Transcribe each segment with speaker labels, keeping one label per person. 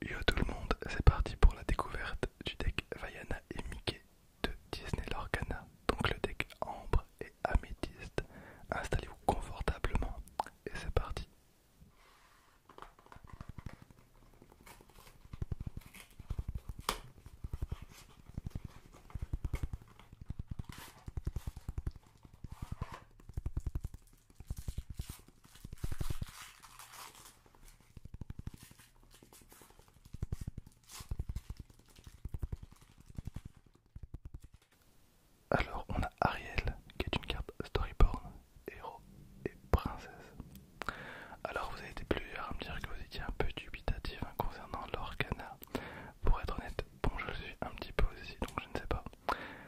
Speaker 1: Yo tout le monde, c'est parti pour la découverte du deck Vaiana et Mickey de Disney Lorgana, donc le deck ambre et améthyste. Installez-vous confortablement et c'est parti. Alors on a Ariel qui est une carte storyborn, héros et princesse. Alors vous avez été plusieurs à me dire que vous étiez un peu dubitatif hein, concernant l'Orcana. Pour être honnête, bon je suis un petit peu aussi donc je ne sais pas.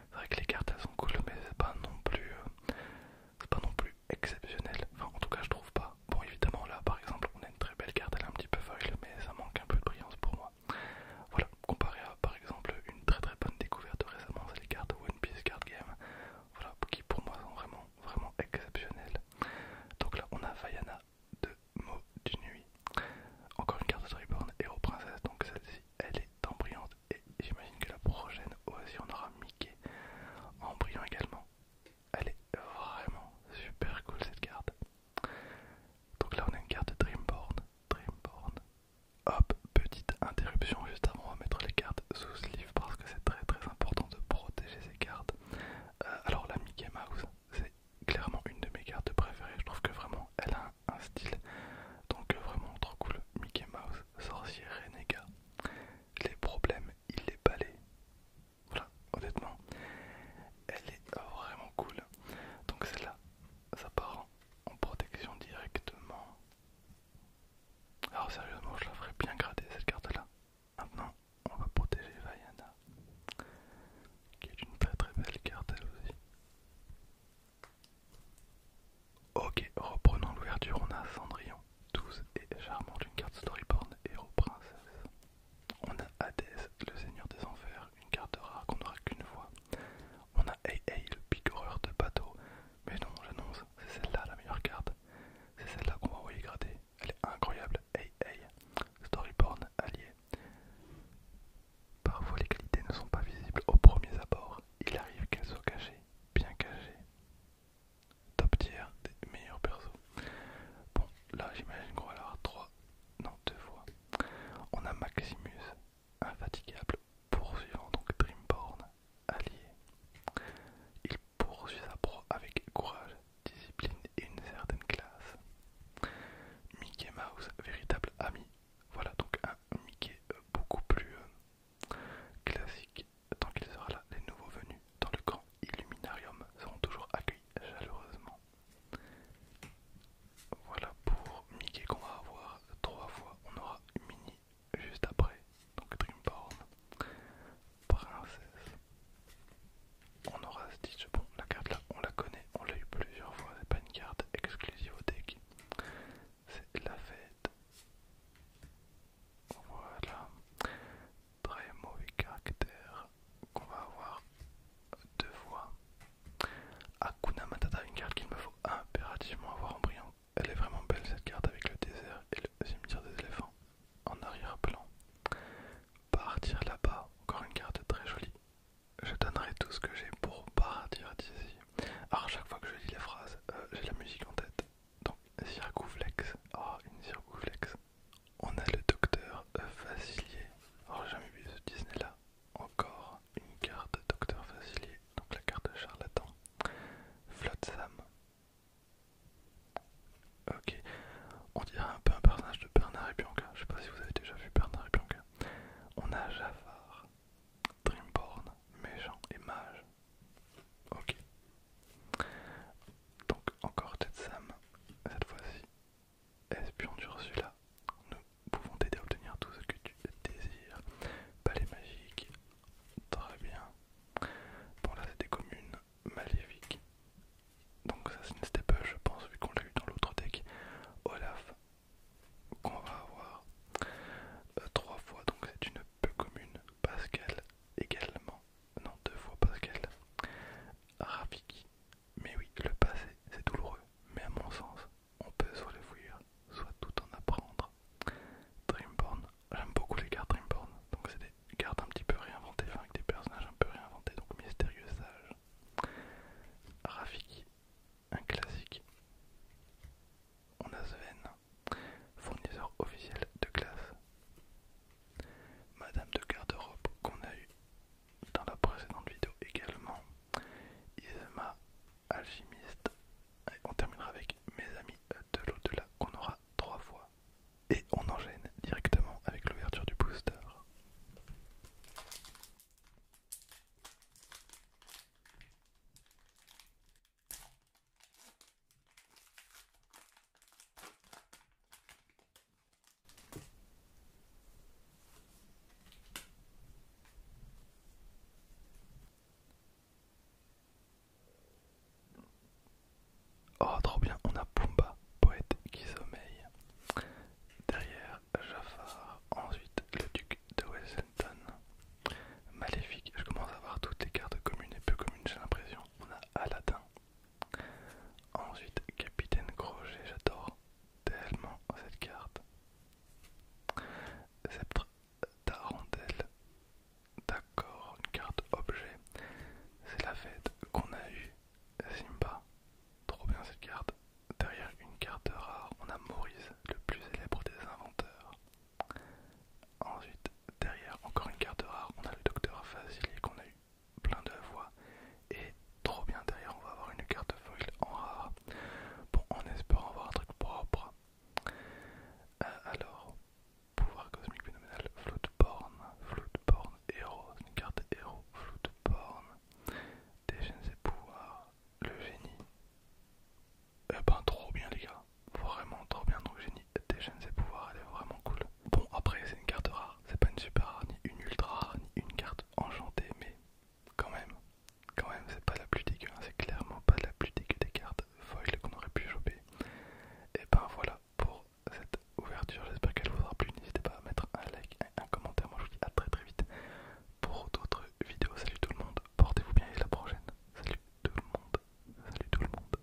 Speaker 1: C'est vrai que les cartes elles sont cool, mais c'est pas non plus, euh, pas non plus exceptionnel. Enfin, en tout cas, je trouve pas. Bon, évidemment, là, par exemple, on a une très belle carte, elle est un petit peu feuille mais ça manque un peu de brillance pour moi. Voilà, comparé à, par exemple, une très très bonne découverte récemment, c'est les cartes One Piece Card Game, voilà, qui pour moi sont vraiment, vraiment exceptionnelles. Donc là, on a Vaiana de mot du Nuit. Encore une carte de et Héros Princesse, donc celle-ci, elle est en brillante et j'imagine que la prochaine aussi on aura Mickey en brillant également. Elle est vraiment super cool cette carte. Donc là on a une carte Dreamborn, Dreamborn. Hop, petite interruption juste avant, on mettre les cartes sous ce livre parce que c'est très très important de protéger ces cartes. Euh, alors la Mickey Mouse, c'est clairement une de mes cartes préférées. Je trouve que vraiment elle a un, style donc euh, vraiment trop cool. Mickey Mouse, sorcier renega Les problèmes, il les balaye. Voilà, honnêtement, elle est vraiment cool. Donc celle-là, ça part en protection directement. Alors sérieusement, je la ferais bien grader cette carte-là. Maintenant, on va protéger Vaiana qui est une très très belle carte elle aussi. Ok, reprenons l'ouverture, on a Cendrillon, 12 et charmante, une carte storyboard, héros princesse. On a Hades, le seigneur des enfers, une carte rare qu'on n'aura qu'une fois. On a AA, le le horreur de bateau. Mais non, j'annonce, c'est celle-là la meilleure carte. C'est celle-là qu'on va envoyer gratter. Elle est incroyable. Hey Hey, storyboard, allié. Parfois les qualités ne sont pas visibles au premier abord, il arrive qu'elles soient cachées, bien cachées. Top tiers des meilleurs persos. Bon, là j'imagine qu'on va avoir 3, non 2 fois. On a Maximus, infatigable, poursuivant donc Dreamborn, allié. Il poursuit sa proie avec courage, discipline et une certaine classe. Mickey Mouse, véritable ami. Voilà donc un Mickey euh, beaucoup plus euh, classique. Tant qu'il sera là, les nouveaux venus dans le camp Illuminarium seront toujours accueillis chaleureusement. Voilà pour Mickey qu'on va avoir trois fois. On aura Mini juste après, donc Dreamborn princesse. On aura dit bon, la carte là, on la connaît, on l'a eu plusieurs fois, c'est pas une carte exclusive au deck. C'est la fête. Voilà. Très mauvais caractère qu'on va avoir deux fois. Akuna Matata, une carte qu'il me faut impérativement avoir en brillant. Elle est vraiment belle cette carte avec le désert et le cimetière des éléphants en arrière-plan. Partir là-bas, encore une carte très jolie. Je donnerai tout ce que j'ai pour partir d'ici. Alors, chaque fois que je lis la phrase, euh, j'ai la musique en tête. Donc, circouflex. oh, ah, une flex. On a le docteur Facilier. Euh, Alors, j'ai jamais vu ce Disney-là. Encore une carte docteur Facilier. Donc, la carte charlatan. Flotsam. Sam. Ok, on dirait un peu un personnage de Bernard et Bianca. Je sais pas si vous avez déjà vu Bernard et Bianca. On a Jafar, Dreamborn, Méchant et Mage. Ok, donc encore Ted Sam, cette fois-ci. Espion d'Ursula, nous pouvons t'aider à obtenir tout ce que tu désires. Palais magique, très bien. Bon là c'est des communes maléfiques. Donc ça c'est une je pense vu qu'on l'a eu dans l'autre deck. Olaf qu'on va avoir euh, trois fois donc c'est une peu commune. Pascal également. Non deux fois Pascal. Rafiki. Mais oui le passé c'est douloureux. Mais à mon sens on peut soit le fuir soit tout en apprendre. Dreamborn, j'aime beaucoup les cartes Dreamborn, donc c'est des cartes un petit peu réinventées, enfin avec des personnages un peu réinventés, donc mystérieux sage. Rafiki, un classique. On a Sven, fournisseur officiel de classe. Madame de garde-robe qu'on a eu dans la précédente vidéo également. Isma alchimiste. Et on terminera avec mes amis de l'au-delà qu'on aura trois fois. Et on enchaîne directement avec l'ouverture du booster. Oh, trop bien, on a Pumba, poète qui sommeille. Derrière Jafar, ensuite le duc de Wellington. Maléfique, je commence à voir toutes les cartes communes et peu communes, j'ai l'impression. On a Aladdin. Ensuite, Capitaine Crochet, j'adore tellement cette carte. Sceptre d'Arendelle. D'accord, une carte objet. C'est la fête qu'on a eue. Simba. Trop bien cette carte. Derrière une carte rare, on a Maurice, le plus célèbre des inventeurs. Ensuite, derrière encore une carte rare, on a le docteur Fasili, qu'on a eu plein de voix et trop bien derrière, on va avoir une carte foil en rare. Bon, en espérant avoir un truc propre. Euh, alors, pouvoir cosmique phénoménal, Floodborn, Floodborn, héros, une carte héros, Floodborn, déchaîne et pouvoirs, le génie. Eh ben, trop bien, les gars, vraiment trop bien. Donc, génie déchaîne ses pouvoirs, elle est vraiment cool. Bon, après, c'est une carte rare, c'est pas une super rare, ni une ultra rare, ni une carte enchantée, mais quand même, quand même, c'est pas la plus dégueu, c'est clairement pas la plus dégueu des cartes foil qu'on aurait pu choper. Et ben voilà pour cette ouverture, j'espère qu'elle vous aura plu. N'hésitez pas à mettre un like et un commentaire. Moi je vous dis à très très vite pour d'autres vidéos. Salut tout le monde, portez-vous bien et à la prochaine. Salut tout le monde, salut tout le monde.